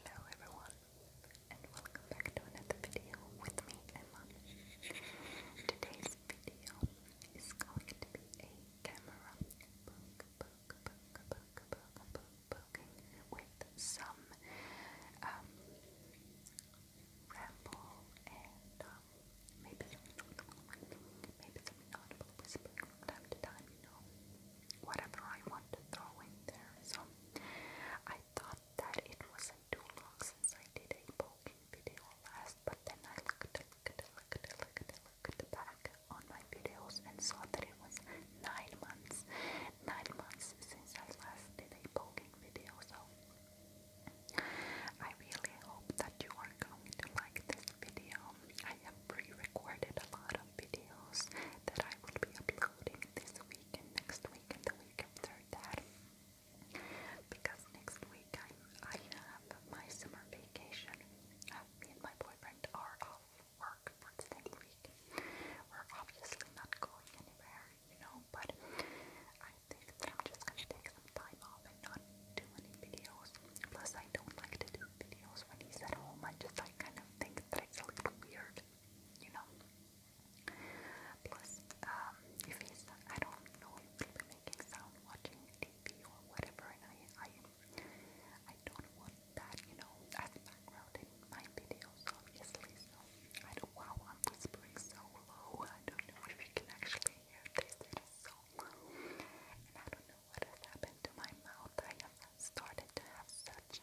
Hello everyone, and welcome back to another video with me, Emma. Today's video is going to be a camera poke, poke, poke, poke, poke, poke, poking with some um, ramble and um, maybe, maybe some inaudible whispering from time to time, you know whatever I want to throw in there. So I thought that it wasn't too long since I did a poking video last, but then I looked, looked, looked, looked, looked back on my videos and saw that it was nine months, nine months since I last did a poking video. So I really hope that you are going to like this video I have pre-recorded a lot of videos that I will be uploading this week next week the week after that. Because next week I'm, I have my summer vacation. Uh, me and my boyfriend are off work for the week. We're obviously not going anywhere, you know, but I think that I'm just gonna take some time off and not do any videos. Plus, I don't like to do videos when he's at home. I just like kind of think that it's a little weird, you know. Plus, um, if he's, I don't know if he making sound watching TV or whatever, and I, I, don't want that, you know, as background in my videos, obviously. So, I don't, wow, I'm whispering so low. I don't know if you can actually hear this. It is so and I don't know what has happened to my mouth. I have started to have such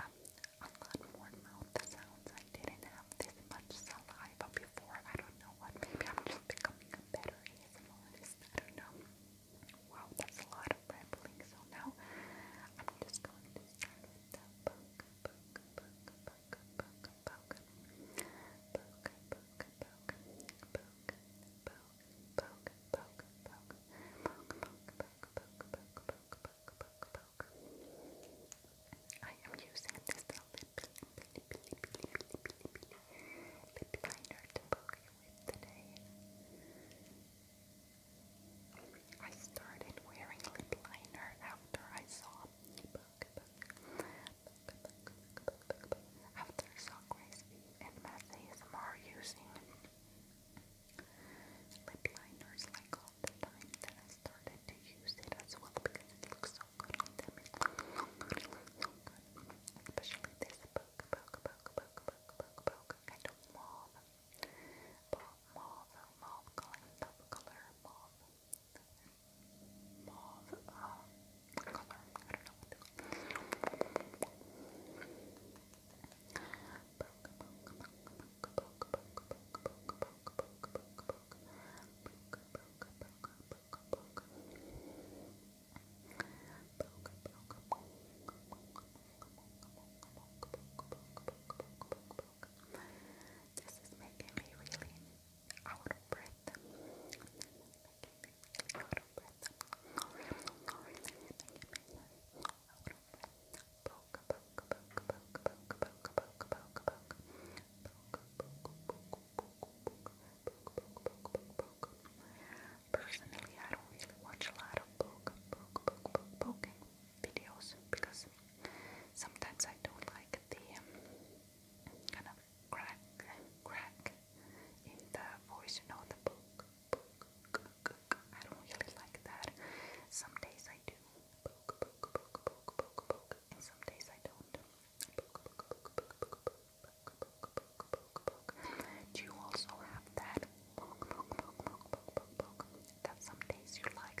a lot more mouth sounds. I didn't have this much saliva before. I don't know what. Maybe I'm just becoming a better ASMRist. I don't know. Wow, that's a lot of rambling. So now I'm just going to start with the book, book, book, book, book, book, book, book, book, book, book, book poke, poke, poke, poke, poke, poke, poke, poke, poke, poke, poke, I am using this lip, lip, lip, lip, lip, lip, lip, lip liner to poke you today. I started wearing lip liner after I saw of their and messages are using lip liners like all the time. Then I started to use it as well because it looks so good so good, especially this book, book, book, book, book, book, book, kind of mauve, mauve, mauve, mauve, mauve color, mauve. And mauve uh, this is making me really out of breath. Out of breath. Poke, poke, poke, poke, poke, poke, poke, poke, poke. Personally, I don't really watch a lot of poke, poke, poke, poke, poking videos because sometimes I don't like the um, kind of crack, crack in the voice, you know, the book, book, I don't really like that. Some days I do, book, book, book, book, book, book, and some days I don't. Book, book, book, book, book, book, book, book, book, book. Do you also have that? Book, book, book, book, book, book, book. That some days you like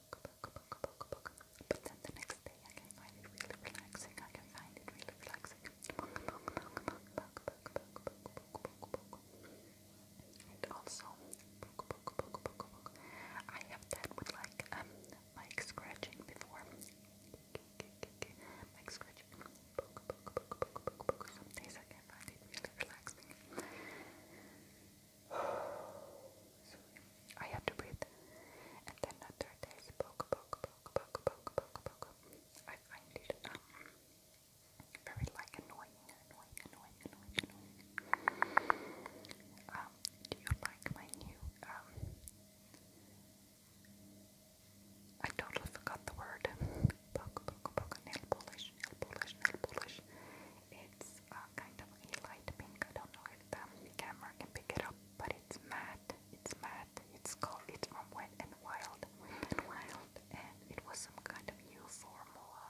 but then the next day I can find it really relaxing. I can find it really relaxing. And also, I have that with like um mic scratching before. Mic scratching. Some days I can find it really relaxing. I have to breathe. And then the day is poke, poke, poke, poke, poke, poke, I find it um, very like annoying, annoying, annoying, annoying, annoying. Um, do you like my new um, I totally forgot the word. Poke, poke, poke, nail polish, nail polish, nail polish. It's a uh, kind of a light pink. I don't know if the camera can pick it up, but it's matte. It's matte. It's called. It's from Wet and Wild. Wet and Wild, and it was some kind of new formula,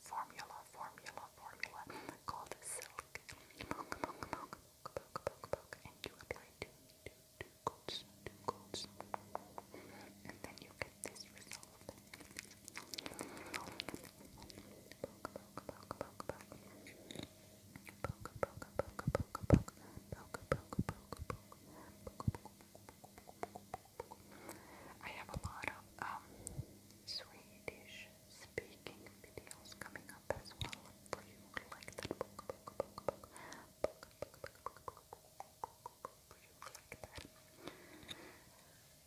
formula, formula, formula called Silk. Poke, poke, poke, poke, poke, poke, and you apply two, two, two coats, two coats, and then you get this result. I have a lot of um Swedish speaking videos coming up as well for you who like that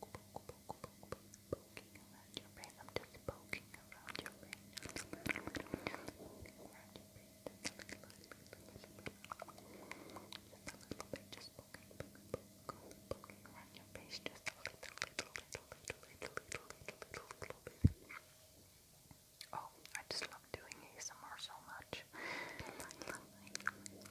poke, poke, poke, poking around your brain. I'm just poking around your brain. Just a little little little, little, little, little, little, bit. Oh, I just love doing ASMR so much.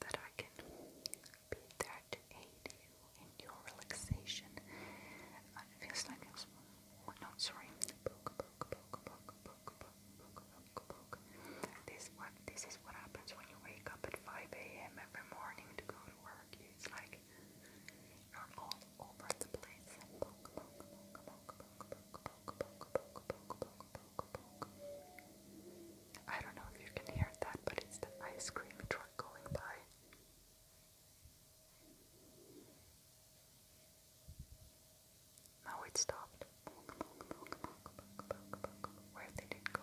that I can be there to aid you in your relaxation. it feels like it's, oh, no, sorry, This, what, this is what happens when you wake up at 5 a.m. every morning to go to work. It's like you're all over the place. I don't know if you can hear that, but it's the ice cream truck going by. Now it stopped. Where did it go?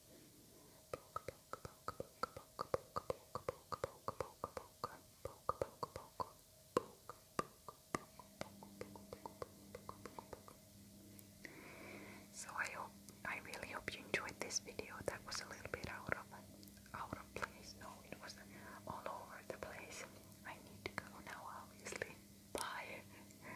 poke, so I hope I really hope you enjoyed this video. That was a little bit out of out of place. No, it was all over the place. I need to go now obviously. Bye.